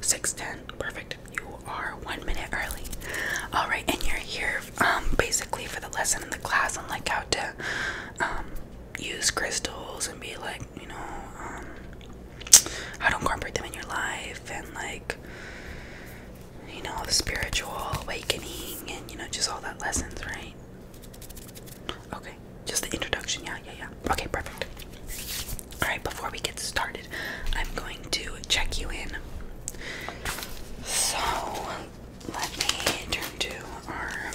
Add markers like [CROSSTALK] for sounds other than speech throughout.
6:10. Perfect. You are one minute early. All right, and you're here um, basically for the lesson in the class on like how to um, use crystals and be like you know um, how to incorporate them in your life and like you know the spiritual awakening and you know just all that lessons, right? Okay, just the introduction. Yeah, yeah, yeah. Okay, perfect. Alright, before we get started, I'm going to check you in. So, let me turn to our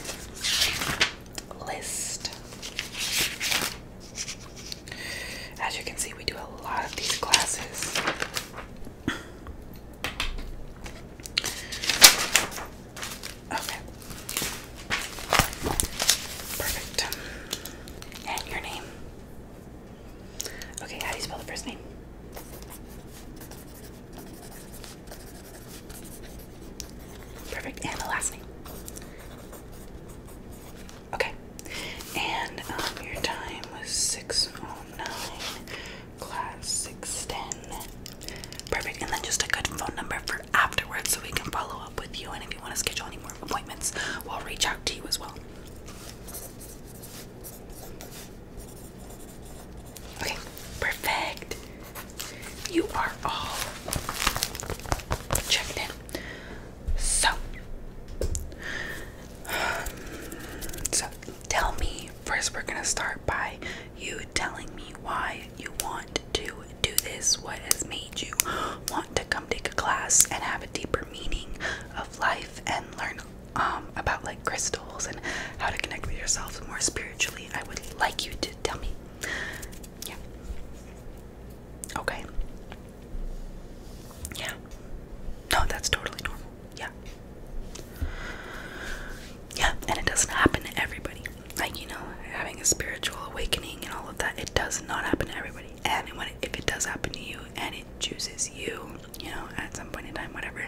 list. As you can see, we do a lot of these classes. Okay. Perfect. And your name? Okay, how do you spell the first name? Perfect. And the last name. Okay. And um, your time was 609, class 610. Perfect. And then just a good phone number for afterwards so we can follow up with you. And if you want to schedule any more appointments, we'll reach out to you as well. Okay, perfect. You are all checked in. So, [SIGHS] so tell me first. We're gonna start by you telling me why you want to do this. What has made you to come take a class and have a deeper meaning of life and learn um, about like crystals and how to connect with yourself more spiritually, I would like you to tell me. Yeah. Okay. Yeah. No, that's totally normal. Yeah. Yeah, and it doesn't happen to everybody. Like, you know, having a spiritual awakening and all of that, it does not happen to everybody and when it, if it does happen to you and it chooses you you know at some point in time whatever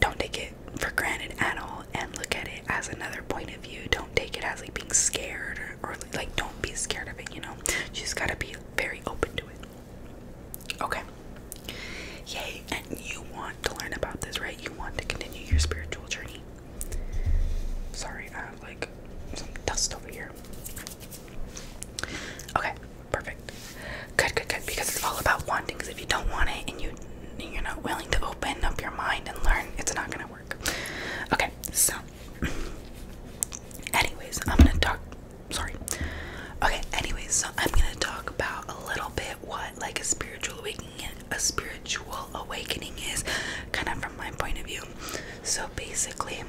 don't take it for granted at all and look at it as another point of view don't take it as like being scared or, like don't be scared of it you know you just gotta be very open to it okay yay and you want to learn about this right you want to continue your spiritual journey sorry i have like some dust over here Okay, perfect. Good, good, good. Because it's all about wanting. Because if you don't want it and you you're not willing to open up your mind and learn, it's not gonna work. Okay, so anyways, I'm gonna talk. Sorry. Okay, anyways, so I'm gonna talk about a little bit what like a spiritual awakening, a spiritual awakening is, kind of from my point of view. So basically,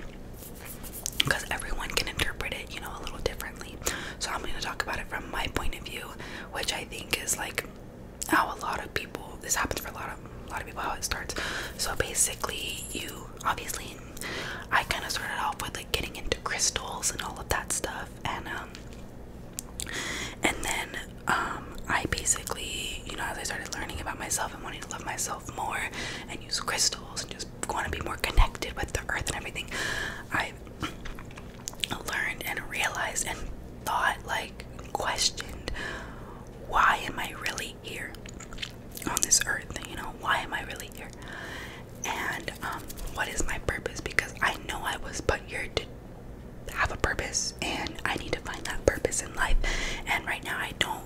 because everyone can interpret it, you know, a little differently. So I'm going to talk about it from my point of view, which I think is like how a lot of people. This happens for a lot of a lot of people. How it starts. So basically, you obviously, I kind of started off with like getting into crystals and all of that stuff, and um, and then um, I basically, you know, as I started learning about myself and wanting to love myself more, and use crystals and just want to be more connected with the earth and everything, I learned and realized and thought, like, questioned, why am I really here on this earth? You know, why am I really here? And um, what is my purpose? Because I know I was put here to have a purpose and I need to find that purpose in life. And right now, I don't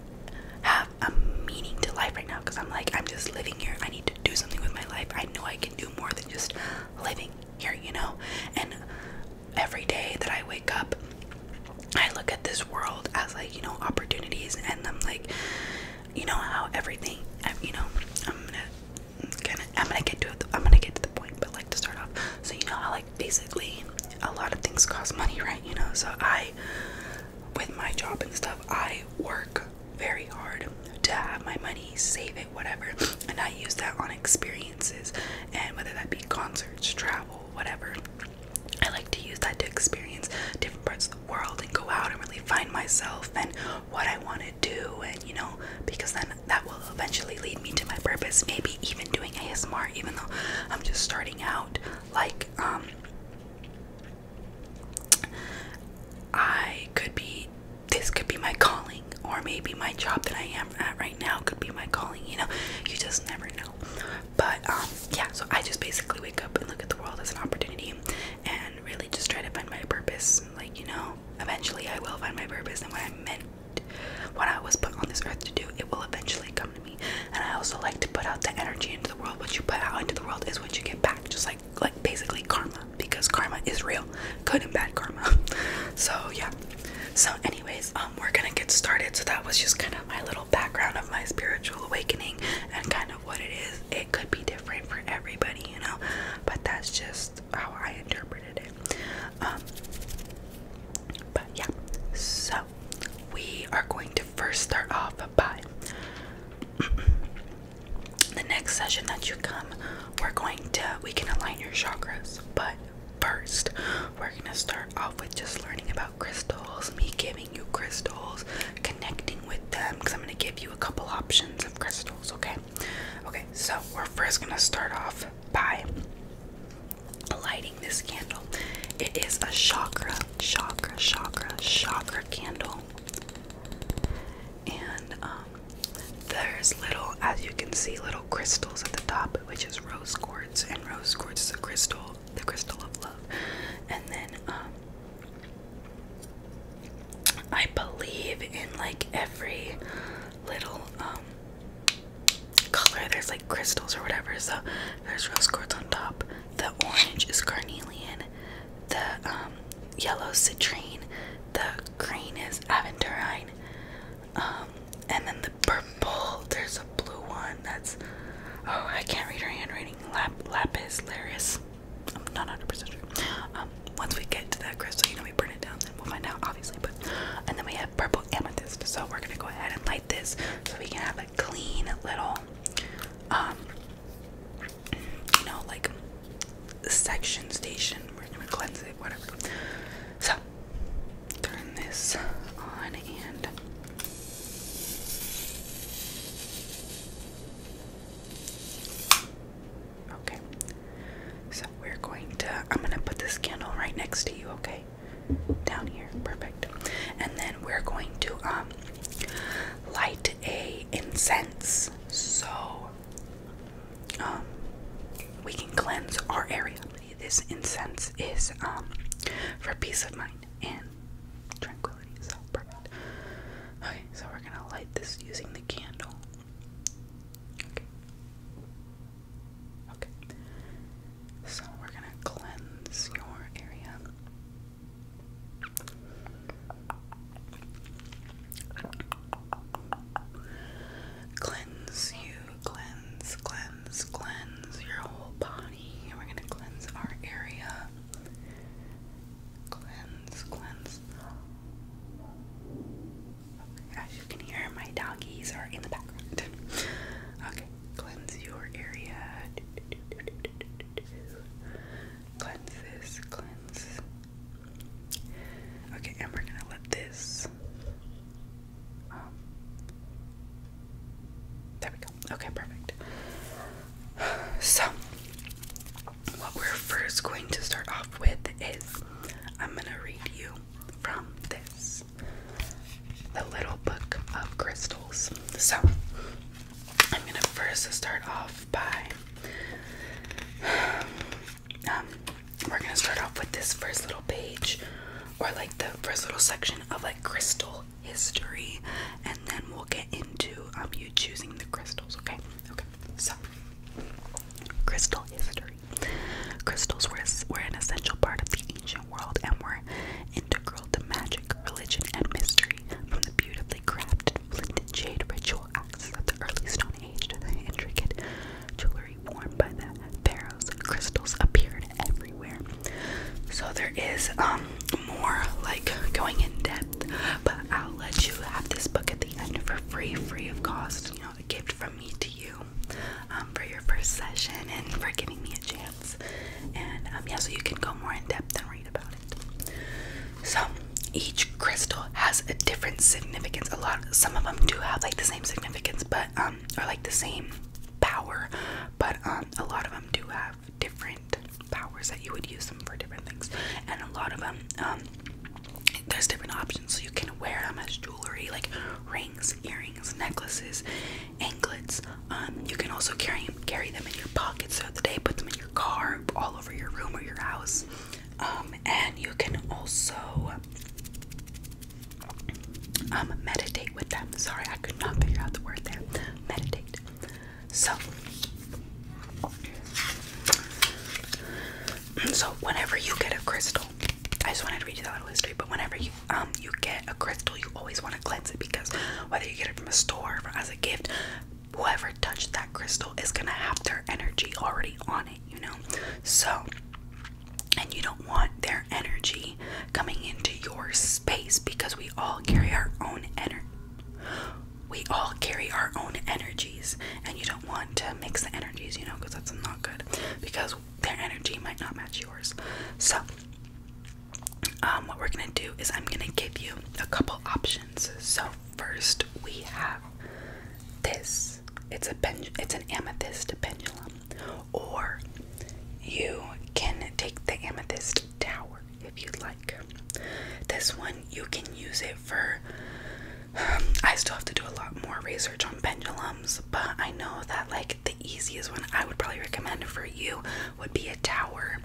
have a meaning to life right now because I'm like, I'm just living here. I need to do something with my life. I know I can do more than just living here, you know? And every day that I wake up, I look at this world as like, you know, opportunities and I'm like, you know how everything, you know, I'm gonna, I'm gonna get to it, I'm gonna get to the point, but like to start off, so you know how like basically a lot of things cost money, [LAUGHS] right? You know, so I with my job and stuff, I work very hard to have my money, save it, whatever, and I use that on experiences and whether that be concerts, travel, whatever. I like to use that to experience different parts of the world and go out and really find myself and what I want to do, and you know, because then that will eventually lead me to my purpose. Maybe even doing ASMR, even though I'm just starting out, like, um, I could be this could be my calling or maybe my job that I am at right now could be my calling, you know. You just never know. But um yeah, so I just basically wake up and look at the world as an opportunity and really just try to find my purpose. Like, you know, eventually I will find my purpose and what I meant what I was put on this earth to do, it will eventually come. And I also like to put out the energy into the world. What you put out into the world is what you get back. Just like like basically karma, because karma is real, good and bad karma. [LAUGHS] So yeah. So anyways, um, we're gonna get started. So that was just kind of my little background of my spiritual awakening and kind of what it is. It could be different for everybody, you know, but that's just how I interpreted it. Um, but yeah, so we are going to first start off by [CLEARS THROAT] the next session that you come, we're going to we can align your chakras, but first we're gonna start off with just learning about crystals, me giving you crystals, connecting with them, because I'm gonna give you a couple options of crystals, okay? Okay, so we're first gonna start off by lighting this candle. It is a chakra, chakra, chakra, chakra candle. And um, there's little, as you can see, little crystals at the top, which is rose quartz. And rose quartz is a crystal, the crystal of love. And then um, I believe in like every little um, color, there's like crystals or whatever. So there's rose quartz on top. The orange is carnelian. The um, yellow citrine. The green is aventurine. Um, and then the purple. There's a blue one. That's oh, I can't read her handwriting. Lap, lapis laris. I'm not 100% sure. Um, once we get to that crystal, you know, we burn it down, then we'll find out, obviously. But and then we have purple amethyst. So we're gonna go ahead and light this so we can have clean little um, you know like section station we're gonna cleanse it whatever so turn this on and okay so we're going to i'm gonna put this candle right next to you okay down here. Perfect. And then we're going to um light a incense so um we can cleanse our area. This incense is um for peace of mind and tranquility. So perfect. Okay, so we're gonna light this using the candle. Okay. Okay. So we're gonna cleanse your area. Cleanse you, cleanse, cleanse, cleanse your whole body. We're going to cleanse our area. Cleanse, cleanse. As you can hear, my doggies are in the background. Okay, cleanse your area. Cleanse this, cleanse. Okay, and we're gonna let this. Um, there we go. Okay, perfect. So, what we're first going to start off with is I'm gonna read you from this the little book of crystals. So I'm gonna first start off by um, we're gonna start off with this first little page or like the first little section of like crystal history, and then we'll get into um you choosing the crystals. Okay, okay. So crystal history. Crystals were were an essential part of the ancient world and were integral to magic, religion, and mystery. From the beautifully crafted flint and jade ritual axes of the early Stone Age to the intricate jewelry worn by the pharaohs, crystals appeared everywhere. So there is um, more like going in depth, but I'll let you have this book at the end for free, free of cost. You know, a gift from me to you um, for your first session and for giving me a chance and um, yeah, so you can go more in depth and read about it. So each crystal has a different significance. A lot, some of them do have like the same significance, but um, or like the same power, but um, a lot of them do have different powers that you would use them for different things, and a lot of them um, there's different options. So you can wear them as jewelry, like rings, earrings, necklaces, anklets. Um, you can also carry carry them in your pockets throughout the day, put them in your car, all over your room or your house. Um, and you can also um, meditate with them. Sorry, I could not figure out the word there. Meditate. So, so whenever you get a crystal, I just wanted to read you that little history. But whenever you um you get a crystal, you always want to cleanse it because whether you get it from a store or as a gift, whoever touched that crystal is gonna have their energy already on it, you know. So and you don't want their energy coming into your space because we all carry our own energy. We all carry our own energies, and you don't want to mix the energies, you know, because that's not good. Because their energy might not match yours. So, um, what we're gonna do is I'm gonna give you a couple options. So first we have this. It's a pen it's an amethyst pendulum. Or you can take the amethyst tower if you'd like. This one you can use it for um, I still have to do a lot more research on pendulums, but I know that like the easiest one I would probably recommend for you would be a tower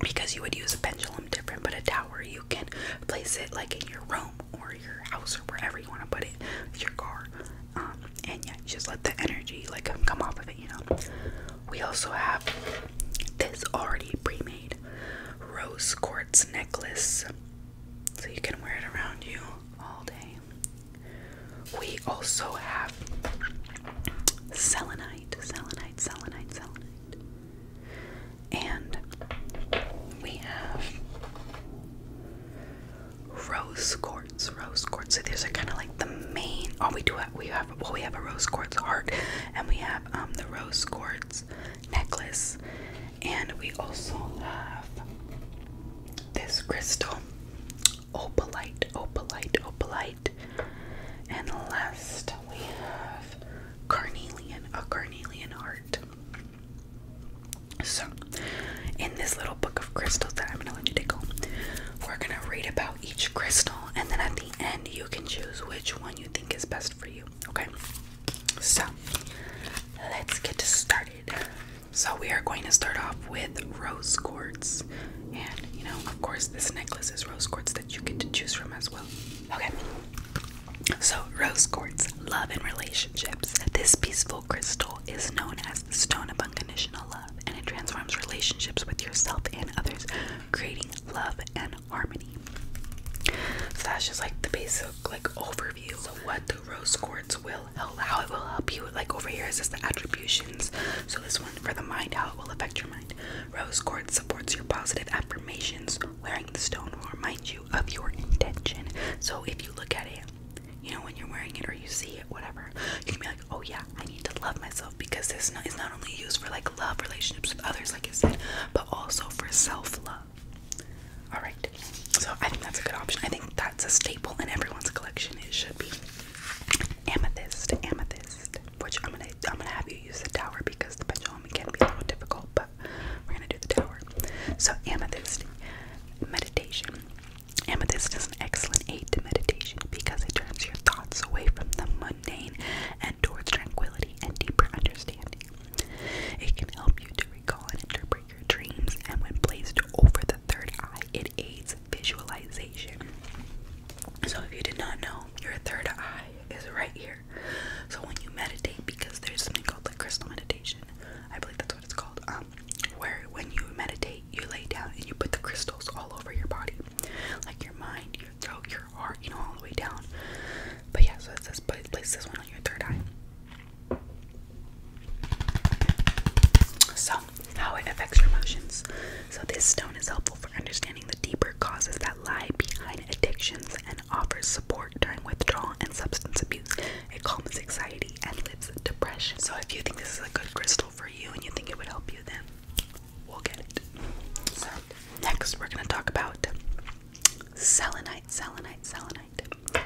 because you would use a pendulum different, but a tower you can place it like in your room or your house or wherever you want to put it, your car. Um, and yeah, just let the energy like come off of it, you know. We also have this already pre-made rose quartz necklace, so you can wear it around you all day. We also have selenite, selenite, selenite, selenite. And we have rose quartz, rose quartz. So these are kind of like the main. Oh, we do have we have well we have a rose quartz heart, and we have um the rose quartz necklace, and we also have this crystal opalite, oh, opalite, oh, opalite. Oh, and last we have carnelian, a carnelian heart. So, in this little book of crystals that I'm gonna let you take home, we're gonna read about each crystal, and then at the end, you can choose which one you think is best for you. Okay, so let's get started. So, we are going to start off with rose quartz. And you know, of course, this necklace is rose quartz that you get to choose from as well. Okay. So, rose quartz, love and relationships. This peaceful crystal is known as the stone of unconditional love, and it transforms relationships with yourself and others, creating love and harmony. So that's just like the basic like overview of what the rose quartz will help, how it will help you. Like over here is just the attributions. So this one for the mind, how it will affect your mind. Rose quartz supports your positive affirmations. Wearing the stone will remind you of your intention. So if you look at it, you know, when you're wearing it or you see it, whatever, you can be like, oh yeah, I need to love myself because this is not only used for like love relationships with others, like I said, but also for self love. Alright, so I think that's a good option. I think that's a staple in everyone's collection. It should be amethyst, amethyst, which I'm gonna I'm gonna have you use the tower because the pendulum can be a little difficult, but we're gonna do the tower. So amethyst meditation. Amethyst is an excellent aid to meditation because it turns your thoughts away from the mundane and towards tranquility and deeper understanding. It can help you to recall and interpret your dreams, and when placed over the third eye, it aids visualization. So, if you did not know, your third eye is right here. So, when you meditate, because there's something called like crystal meditation, I believe that's what it's called, um, where when you meditate, you lay down and you put the crystals all over your body, like your mind, your throat, your heart, you know, all the way down. But yeah, so it says place this one on your third eye. So, how it affects your emotions. So, this stone is helpful for understanding the deeper causes that lie behind addictions and offers support during withdrawal and substance abuse. It calms anxiety and lifts depression. So, if you think this is a good crystal for you and you think it would help you, then we'll get it. So, next we're going to talk about selenite, selenite, selenite.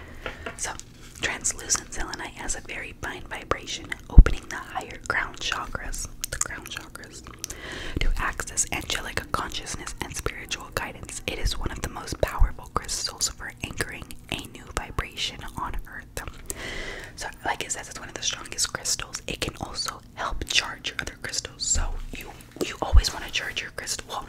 So, translucent selenite has a very grapevine vibration, opening the higher crown chakras, the crown chakras, to access angelic consciousness and spiritual guidance. It is one of the most powerful crystals for anchoring a new vibration on earth. So, like I said, it's one of the strongest crystals. It can also help charge your other crystals. So you you always want to charge your crystals. Well,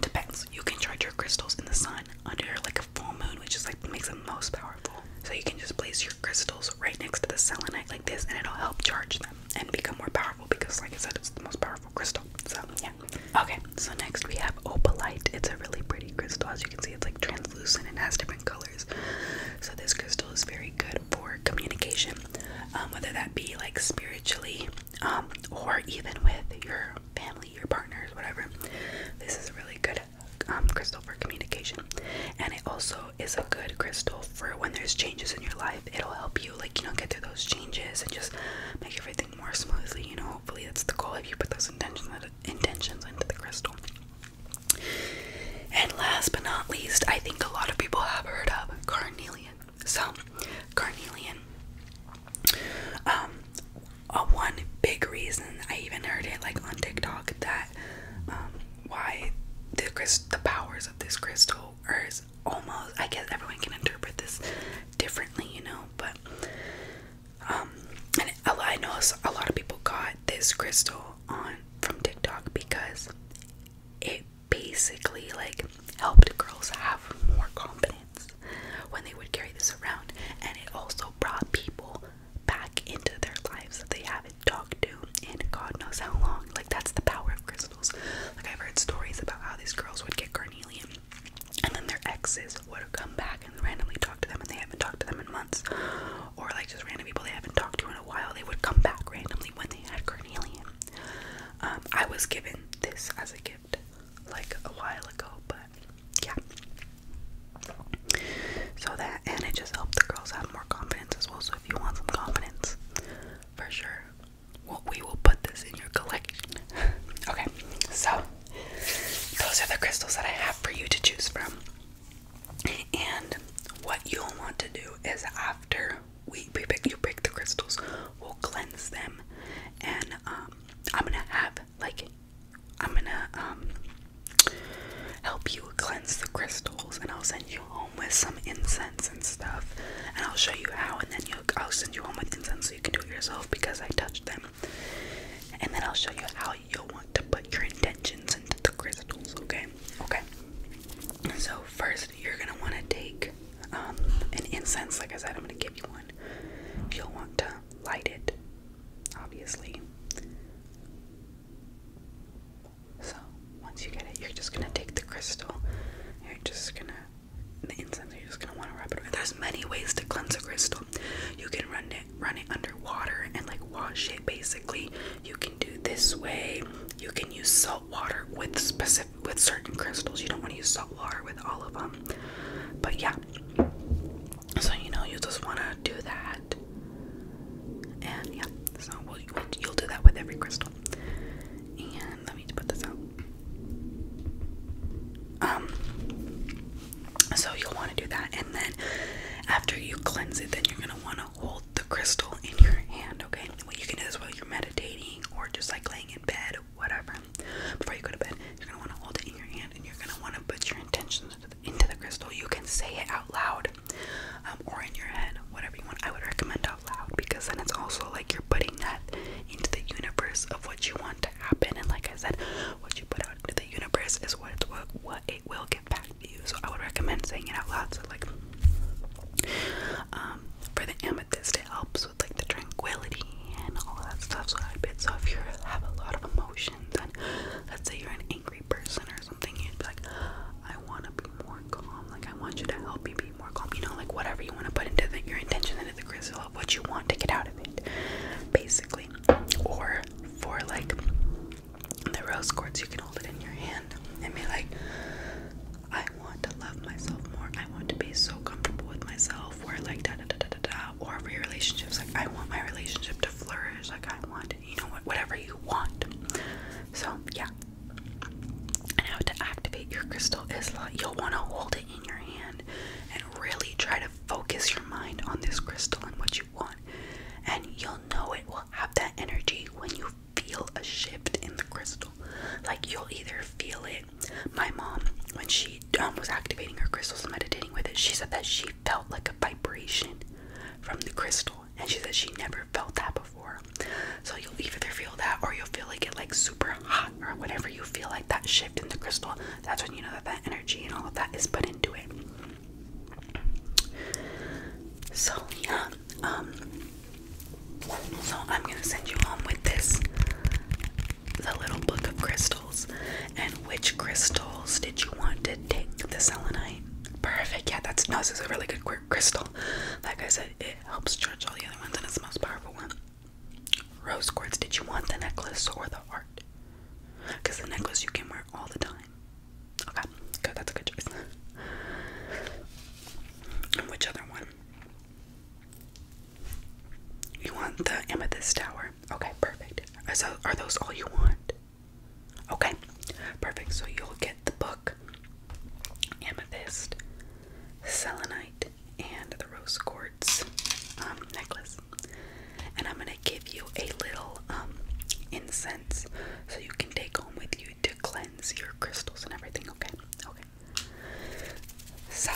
depends. You can charge your crystals in the sun under like a full moon, which is like makes them most powerful. So you can just place your crystals right next to the selenite like this and it'll help charge them and become more powerful because like I said it's the most powerful crystal. So yeah. Okay, so next we have opalite. It's a really pretty crystal. As you can see it's like translucent and has different colors. So this crystal is very good for communication. Um, whether that be like spiritually um, or even with your family, your partners, whatever. This is really good um, crystal for communication, and it also is a good crystal for when there's changes in your life. It'll help you, like you know, get through those changes and just make everything more smoothly. You know, hopefully that's the goal if you put those intentions intentions into the crystal. And last but not least, I think a lot of people have heard of carnelian. So, carnelian. Um, uh, one big reason I even heard it like on TikTok that um, why the powers of this crystal are almost I guess everyone can interpret this differently, you know, but um and I know a lot of people got this crystal on from TikTok because it basically like helped girls have more confidence when they would carry this around and it also brought people back into their lives that they haven't talked to in God knows how long. Like that's the power of crystals. Like I've heard stories about how these girls would get carnelian and then their exes would come back and randomly talk to them and they haven't talked to them in months. Or like just random people they haven't talked to in a while, they would come back randomly when they had carnelian. Um, I was given this as a gift like a while ago, but yeah. So that, and it just helps the girls have more confidence as well. So if you want some confidence, for sure, we will put this in your collection. [LAUGHS] okay, so those are the crystals that I have for you to choose from. And what you'll want to do is after we, we pick, you break the crystals, we'll cleanse them, and um, I'm gonna have like I'm gonna um help you cleanse the crystals, and I'll send you home with some incense and stuff, and I'll show you how, and then you'll, I'll send you home with incense so you can do it yourself because I touched them, and then I'll show you how you'll want to put your intentions into the crystals. Okay, okay. So first, you're gonna want to take um, an incense. Like I said, I'm gonna give you one. You'll want to light it, obviously. So once you get it, you're just gonna take the crystal. You're just gonna the incense. You're just gonna want to rub it. There's many ways to cleanse a crystal. You can run it, run it under water and like wash it. Basically, you can do this way. You can use salt water with specific with certain crystals. You don't want to use salt water with all of them. But yeah, so you know you just wanna do that, and yeah, so you'll do that with every crystal. And let me put this out. Um, so you'll want to do that, and then after you cleanse it, then you're gonna wanna hold the crystal in your hand. Okay, What you can do as well, you're meditating or just like laying in bed, whatever. Before you go to bed, you're gonna wanna hold it in your hand, and you're gonna wanna put your intentions into the crystal, you can say it out loud um, or in your head, whatever you want. I would recommend out loud because then it's also like you're putting that into the universe of what you want to happen. And like I said, what you put out into the universe is what what it will give back to you. So I would recommend saying it out loud. So like, um, for the amethyst, it helps with like the tranquility and all that stuff. So I bet so if you have a lot of emotions and let's say you're in angry person or something, you'd be like, I want to be more calm. Like, I want you to help me be more calm. You know, like whatever you want to put into the, your intention into the crystal of what you want to get out of it, basically. Or for like the rose quartz, you can hold it in your hand and be like, I want to love myself more. I want to be so comfortable with myself. Or like da da da da da da. Or for your relationships, like I want my relationship to flourish. Like I want you know, whatever you want. So, yeah. how to activate your crystal is like you'll want to hold it in your hand and really try to focus your mind on this crystal and what you want. And you'll know it will have that energy when you feel a shift in the crystal. Like you'll either feel it. My mom, when she um, was activating her crystals and meditating with it, she said that she felt like a vibration from the crystal and she said she never felt that before so you'll either feel that or you'll feel like it like super hot or whenever you feel like that shift in the crystal that's when you know that that energy and all of that is put into it so yeah um, so i'm gonna send you home with this the little book of crystals and which crystals did you want to take the selenite Perfect. Yeah, that's no, this is a really good quartz crystal. Like I said, it helps charge all the other ones, and it's the most powerful one. Rose quartz. Did you want the necklace or the heart? Because the necklace you can wear all the time. Okay, good. That's a good choice. and which other one? You want the amethyst tower? Okay, perfect. So, are those all you want? Okay, perfect. So you'll get the book Amethyst, Selenite, and the Rose Quartz um, necklace. And I'm going to give you a little um, incense so you can take home with you to cleanse your crystals and everything. Okay, okay. So,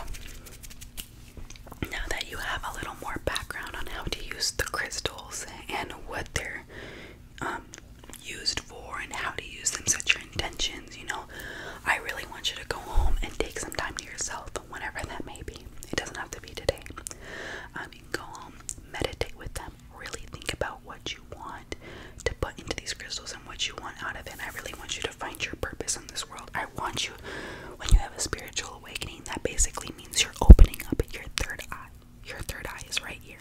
now that you have a little more background on how to use the crystals and what they're um, used for and how to use them, set your intentions. You know, I really want you to go home and take some time to yourself, whenever that may be. It doesn't have to be today. Um, you go home, meditate with them, really think about what you want to put into these crystals and what you want out of it. I really want you to find your purpose in this world. I want you, when you have a spiritual awakening, that basically means you're opening up your third eye your third eye is right here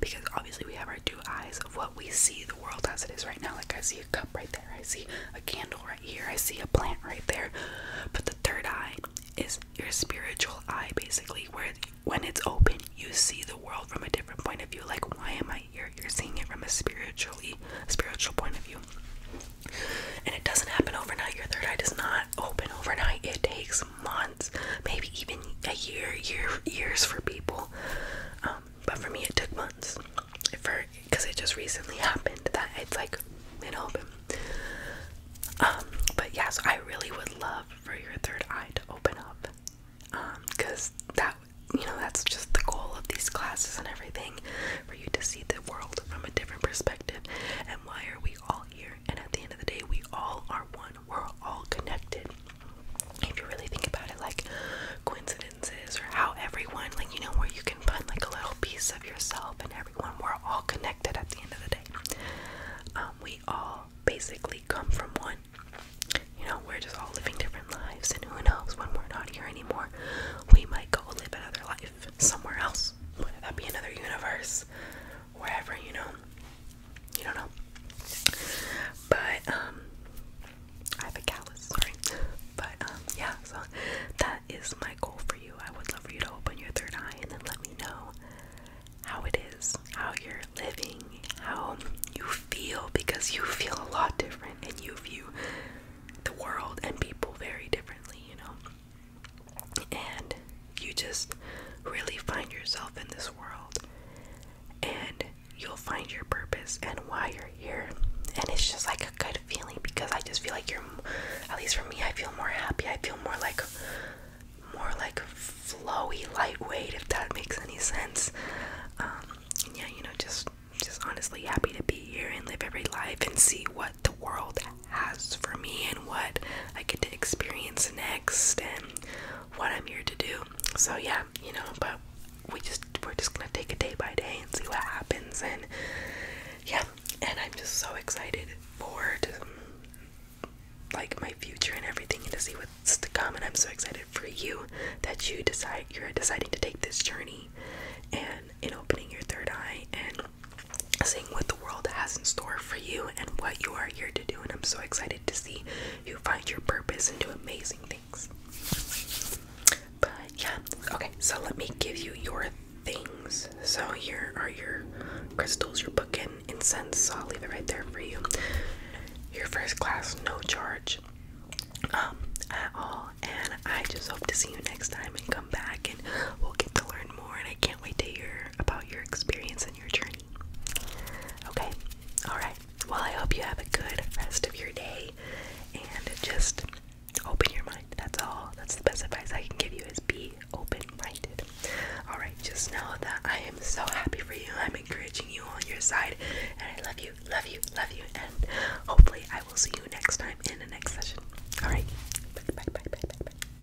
because obviously we have our two eyes of what we see the world as it is right now like i see a cup right there i see a candle right here i see a plant right there but the third eye is your spiritual eye basically where when it's open you see the world from a different point of view like why am i here you're seeing it from a spiritually spiritual point of view and it doesn't happen overnight your third eye does not open overnight it takes months, maybe even a year, year, years for people. Um, but for me, it took months. For because it just recently happened that it's like been open. Um, but yes, I really would love for your third eye to open up. because um, that you know that's just the goal of these classes and everything for you to see the world from a different perspective and why are we all here and at the end of the day, we all are one. We're all connected. If you really think about it, like coincidences or how everyone, like, you know, where you can put like a little piece of yourself and everyone, we're all connected at the end of the day. Um, we all basically come from one. You know, we're just all living different lives, and who knows when we're not here anymore, we might go live another life somewhere else. Whether that be another universe, wherever, you know. You don't know. But um I have a callus, But um yeah, so that is my goal for you. I would love for you to open your third eye and then let me know how it is, how you're living, how you feel because you feel a lot different and you view the world and people very differently, you know and you just really find yourself in this world and you'll find your purpose and why you're here and it's just like a good feeling because i just feel like you're at least for me i feel more happy i feel more like more like flowy lightweight if that makes any sense um, yeah you know just just honestly happy to be here and live every life and see what the world has for me and what I get to experience next and what I'm here to do. So yeah, you know, but we just we're just gonna take it day by day and see what happens and yeah, and I'm just so excited for like my future and everything and to see what's to come and I'm so excited for you that you decide you're deciding to take this journey and in opening your third eye and seeing what the world has in store for you and what you are here to do. And I'm so excited to see you find your purpose and do amazing things. But yeah, okay, so let me give you your things. So here are your crystals, your book, and incense. So I'll leave it right there for you. Your first class, no charge um, at all. And I just hope to see you next time and come back and we'll get to learn more. And I can't wait to hear about your experience Okay, alright. Well, I hope you have a good rest of your day and just open your mind. That's all. That's the best advice I can give you is be open minded. Alright, just know that I am so happy for you. I'm encouraging you on your side, and I love you, love you, love you, and hopefully I will see you next time in the next session. Alright, bye, bye, bye, bye, bye. bye.